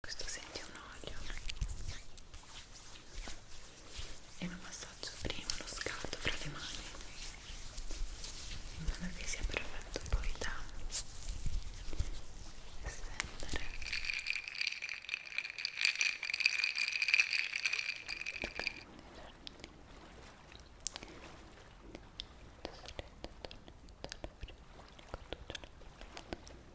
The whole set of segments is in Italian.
questo senti un olio e lo massaggio prima lo scaldo fra le mani in modo che sia perfetto poi da estendere Okay.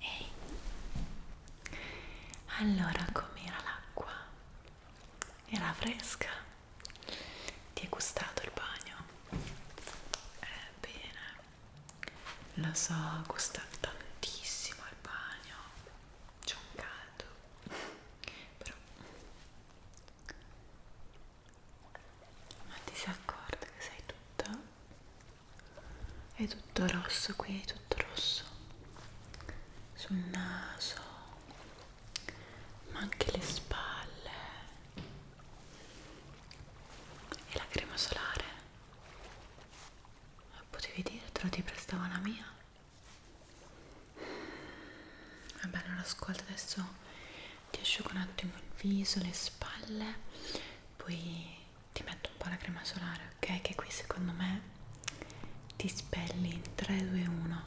Ehi, allora com'era l'acqua? Era fresca? Ti è gustato il bagno? Ebbene, eh, lo so, gusta tantissimo il bagno, c'è un caldo, però ma ti sei accorta che sei tutta è tutto rosso qui è tutto rosso sul naso ma anche le spalle e la crema solare ma potevi dirtelo ti prestavo la mia vabbè non ascolta adesso ti asciugo un attimo il viso, le spalle, poi ti metto un po' la crema solare, ok? Che qui secondo me ti spelli in 3, 2, 1,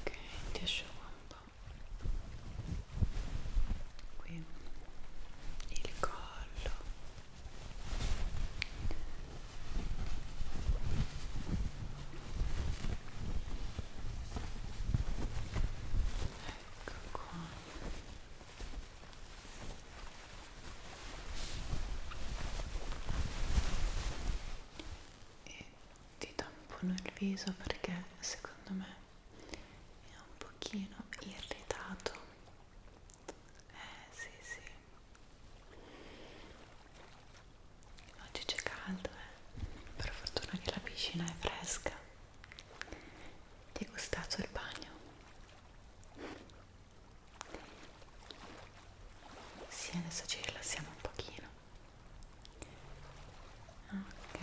ok? Ti asciugo un po'. Qui il collo ecco qua e ti tampono il viso perché secondo me è un pochino irritato eh sì sì oggi c'è caldo eh? per fortuna che la piscina è fresca ti è gustato il bagno? sì adesso ci rilassiamo un pochino ok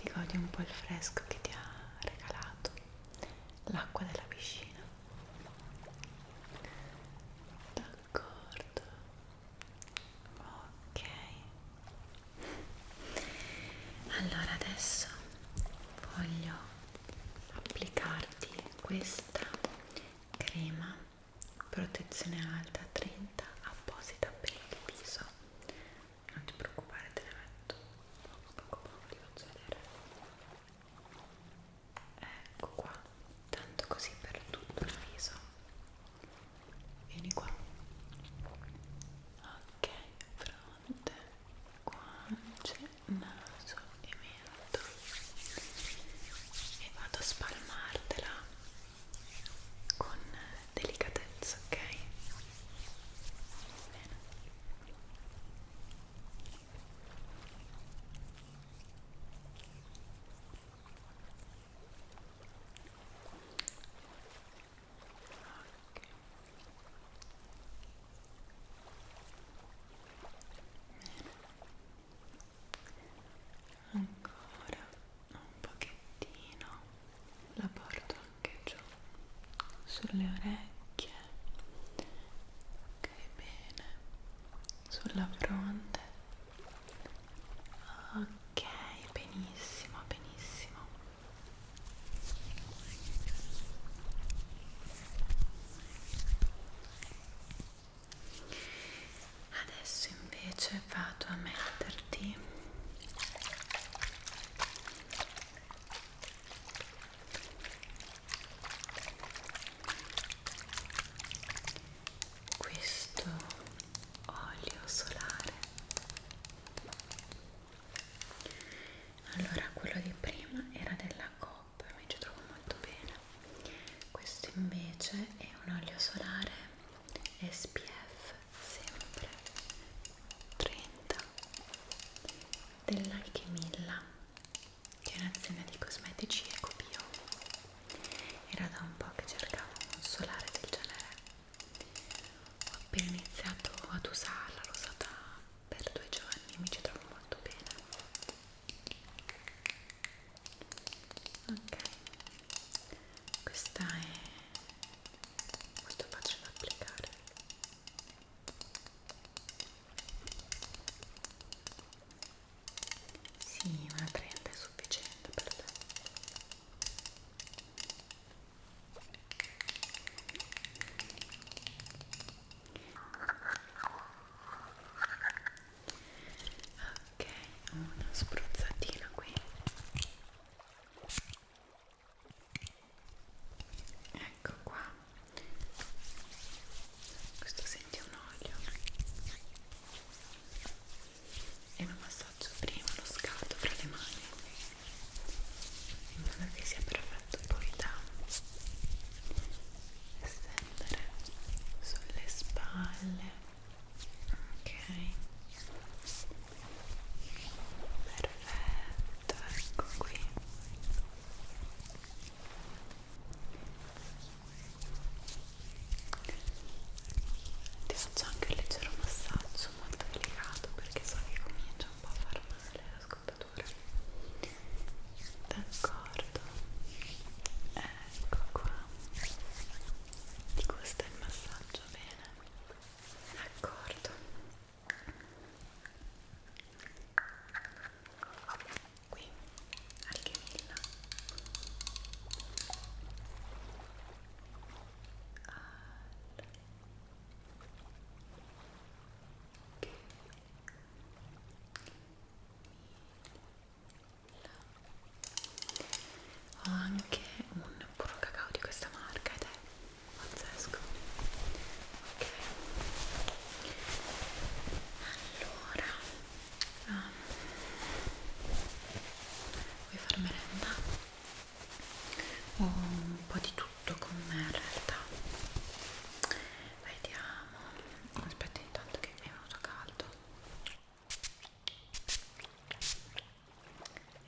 ti godi un po' il fresco che ti ha regalato l'acqua della piscina d'accordo ok allora adesso voglio applicarti questa crema protezione alta 30 apposita per il viso non ti preoccupare te la metto poco poco poco ti faccio vedere ecco qua tanto così per tutto il viso vieni qua ok fronte guance naso e mento e vado a spalmartela con delicatezza ok bene ancora un pochettino la porto anche giù sulle orecchie ok bene sulla fronte ok benissimo benissimo adesso invece vado a metterti questo olio solare allora quello di prima era della Coop mi ci trovo molto bene questo invece è un olio solare SPF sempre 30 dell'Alchemilla che è un'azienda di cosmetici ecobio era da un po' che cercavo un solare del genere ho appena iniziato ad usarla, l'ho usata per due giorni mi ci trovo molto bene ok questa è molto facile da applicare sì, ma 30 è sufficiente per te. Ok, una spruzzatina qui. Ecco qua. Questo senti un olio e mi massaggio prima lo scaldo fra le mani in modo che sia perfetto poi da estendere sulle spalle ok perfetto ecco qui ti faccio anche un leggero massaggio molto delicato perché so che comincia un po' a far male la scottatura d'accordo ecco qua ti gusta il massaggio bene d'accordo qui Alchemilla ho anche un puro cacao di questa marca ed è pazzesco ok allora ah. vuoi far merenda? ho un po' di tutto con me in realtà vediamo aspetta intanto che mi è venuto caldo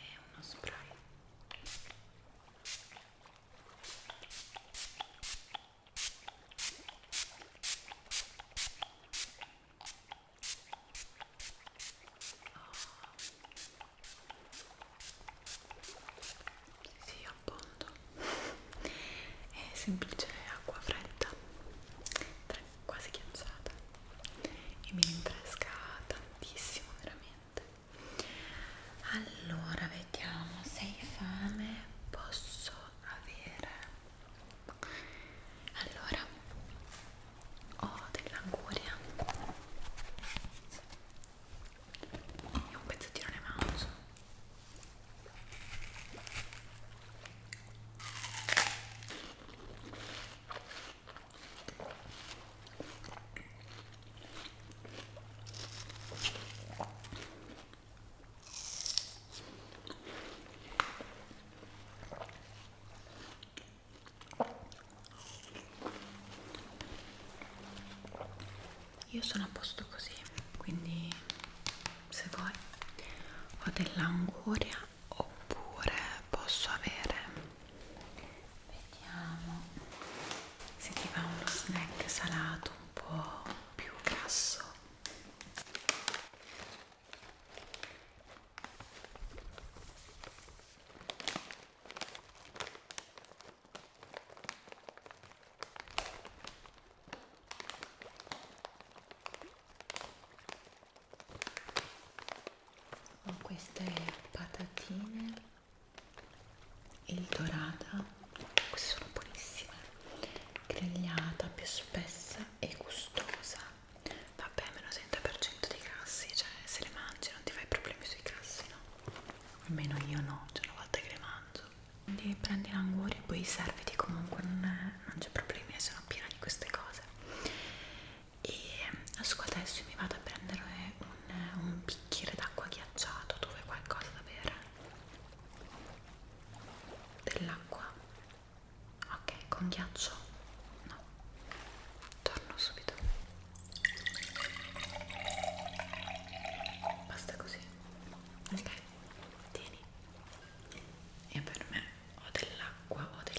e uno spray sì, appunto. È semplice acqua fredda, quasi ghiacciata e mi rinfresca tantissimo, veramente. Allora, vediamo se hai fame. Posso avere allora ho dell'anguria e un pezzettino di manzo io sono a posto così, quindi se vuoi ho dell'anguria oppure posso avere, vediamo se ti va uno snack salato un po' più grasso ho queste patatine il dorata queste sono buonissime grigliata più spessa e gustosa vabbè meno 30% dei grassi cioè se le mangi non ti fai problemi sui grassi no? almeno io no cioè una volta che le mangio quindi prendi l'anguria e poi serviti comunque non, non c'è problemi sono piena di queste cose e adesso mi vado a prendere un, un bicchiere d'acqua ghiacciato dove qualcosa da bere dell'acqua ok con ghiaccio no torno subito basta così ok tieni e per me o dell'acqua o del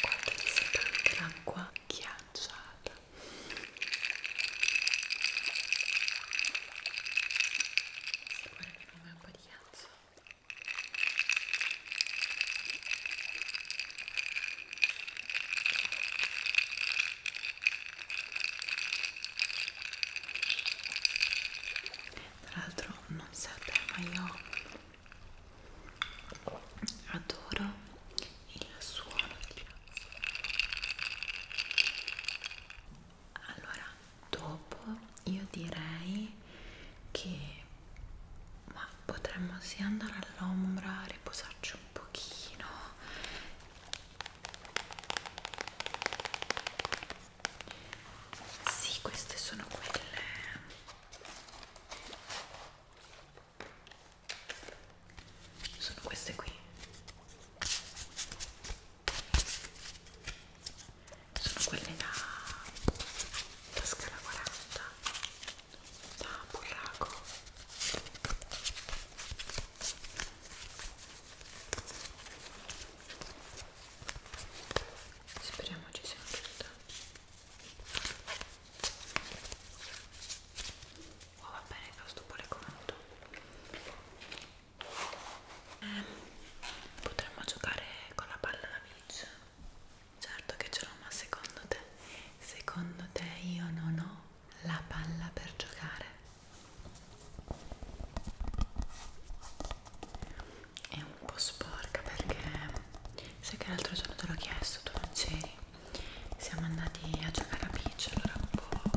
Guarda che si anche l'acqua ghiacciata guarda che non è un po' di ghiaccio tra l'altro non serve ma io adoro il suono di piazza allora dopo io direi che ma potremmo sì andare all'ombra riposarci un pochino sì queste sono quelle sono queste qui sono quelle da, da scala 40 da burraco speriamo ci sia tutto oh va bene fa stupore comodo eh, potremmo giocare con la palla da beach? Certo che ce l'ho, ma secondo te? Secondo te io non ho la palla per giocare? È un po' sporca perché sai che l'altro giorno te l'ho chiesto, tu non c'eri. Siamo andati a c'è la bici allora un po'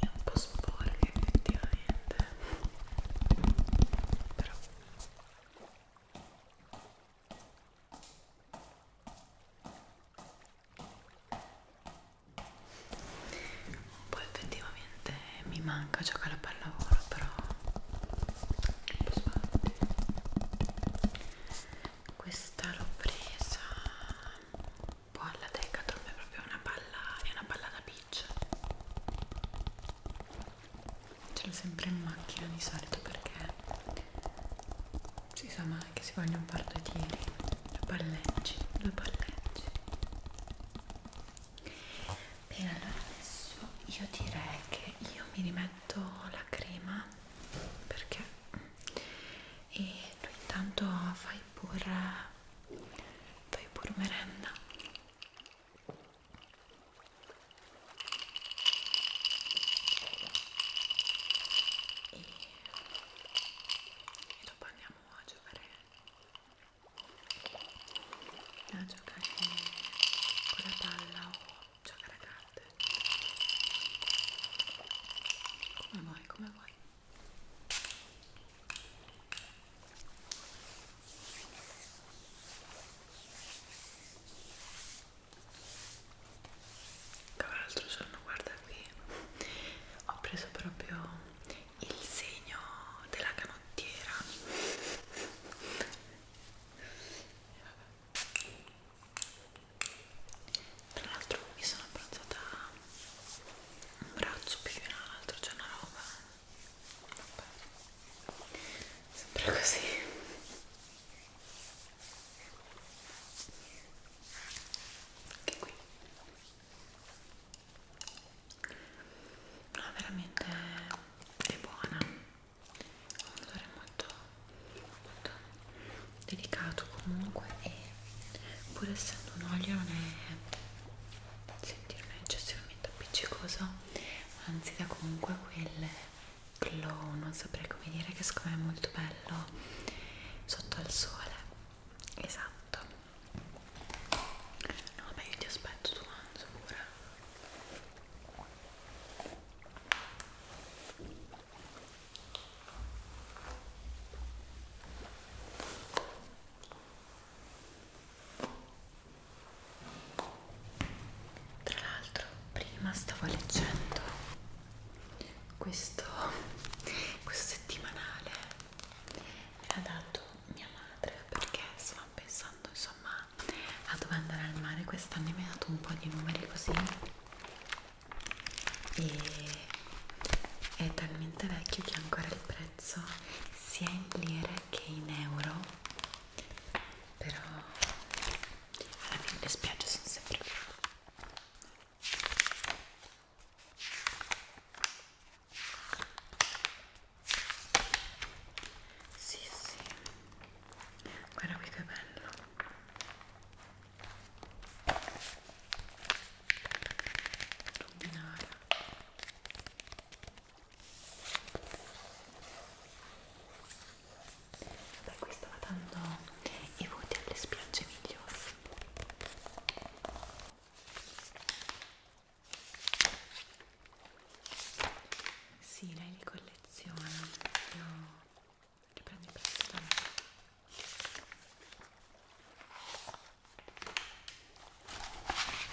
è un po' sporca effettivamente però un po' effettivamente mi manca giocare a pallavolo però un po' sbatti questa l'ho presa poi la Decathlon è proprio una palla, è una palla da beach ce l'ho sempre in macchina di solito perché si sa mai che si vogliono un par di tiri due palleggi, due palleggi bene allora adesso io direi che io mi rimetto la crema perché e tu intanto fai pur, poi pur merenda e, e dopo andiamo a giocare a giocare con la palla o giocare a carte come vuoi, come vuoi tra l'altro giorno, guarda qui, ho preso proprio il segno della canottiera tra l'altro mi sono abbronzata un braccio più di un altro c'è cioè una roba Vabbè. sempre così anche qui no veramente è buona un odore molto molto delicato comunque e pur essendo un olio non è sentirmi eccessivamente appiccicoso anzi dà comunque quel glow non saprei come dire che secondo me è molto bello sotto al sole esatto no beh io ti aspetto tu Anzo pure tra l'altro, prima stavo leggendo questo, questo settimanale, me l'ha dato mia madre perché stavamo pensando insomma a dove andare al mare. Quest'anno mi ha dato un po' di numeri così e è talmente vecchio che ancora il prezzo sia in lire che in euro però alla fine le spiagge sono sempre qui sì sì guarda qui che bello Luminara Beh, qui stava dando i voti alle spiagge migliori sì, lei li colleziona io che prendi prestito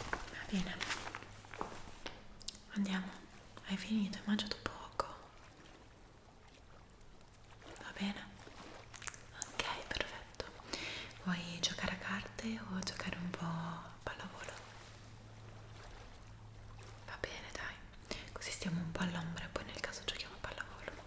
va bene andiamo hai finito hai mangiato poco va bene ok perfetto vuoi giocare a carte o giocare un po' a pallavolo va bene dai così stiamo un po' all'ombra e poi nel caso giochiamo a pallavolo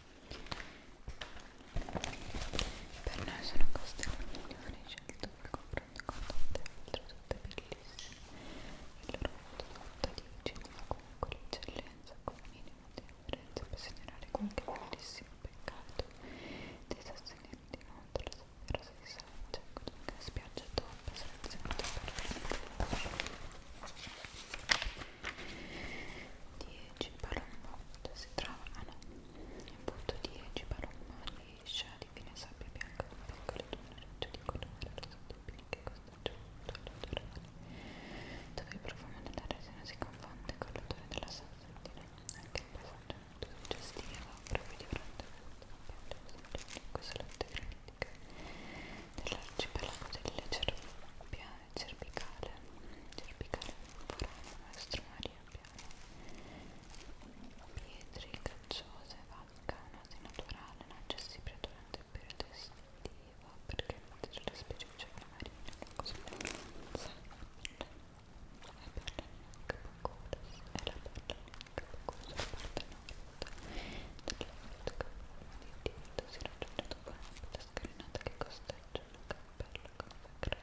per noi sono costelli migliori scelto per confronto con tante altre sotto bellissime il loro voto conta 10 ma comunque l'eccellenza con minimo di differenza per segnalare qualche bellissimo peccato di sostenere di notte la sofferenza di Sancha con una spiaggia top selezionata per la 10 Palombo si trova a Napoli punto 10 Paroma liscia di fine sabbia bianca con piccolo tonneretto di colore rosato che costeggia molto l'odorale dove il profumo della resina si confonde con l'odore della salsettina anche il passaggio molto suggestivo proprio di fronte alla questa latte granitica dell'arcipelago delle cervie cervicale cervicale temporanea maestro Maria Piano pietre cacciose vacca un'asi naturale non accessibile durante il periodo estivo perché il materiale specifico marina è una cosa densa la perla neanche pocuras e la perla neanche pocuras la parte nord dell'orto di Tito si raggiunge dopo la scalinata che costeggia un cappello con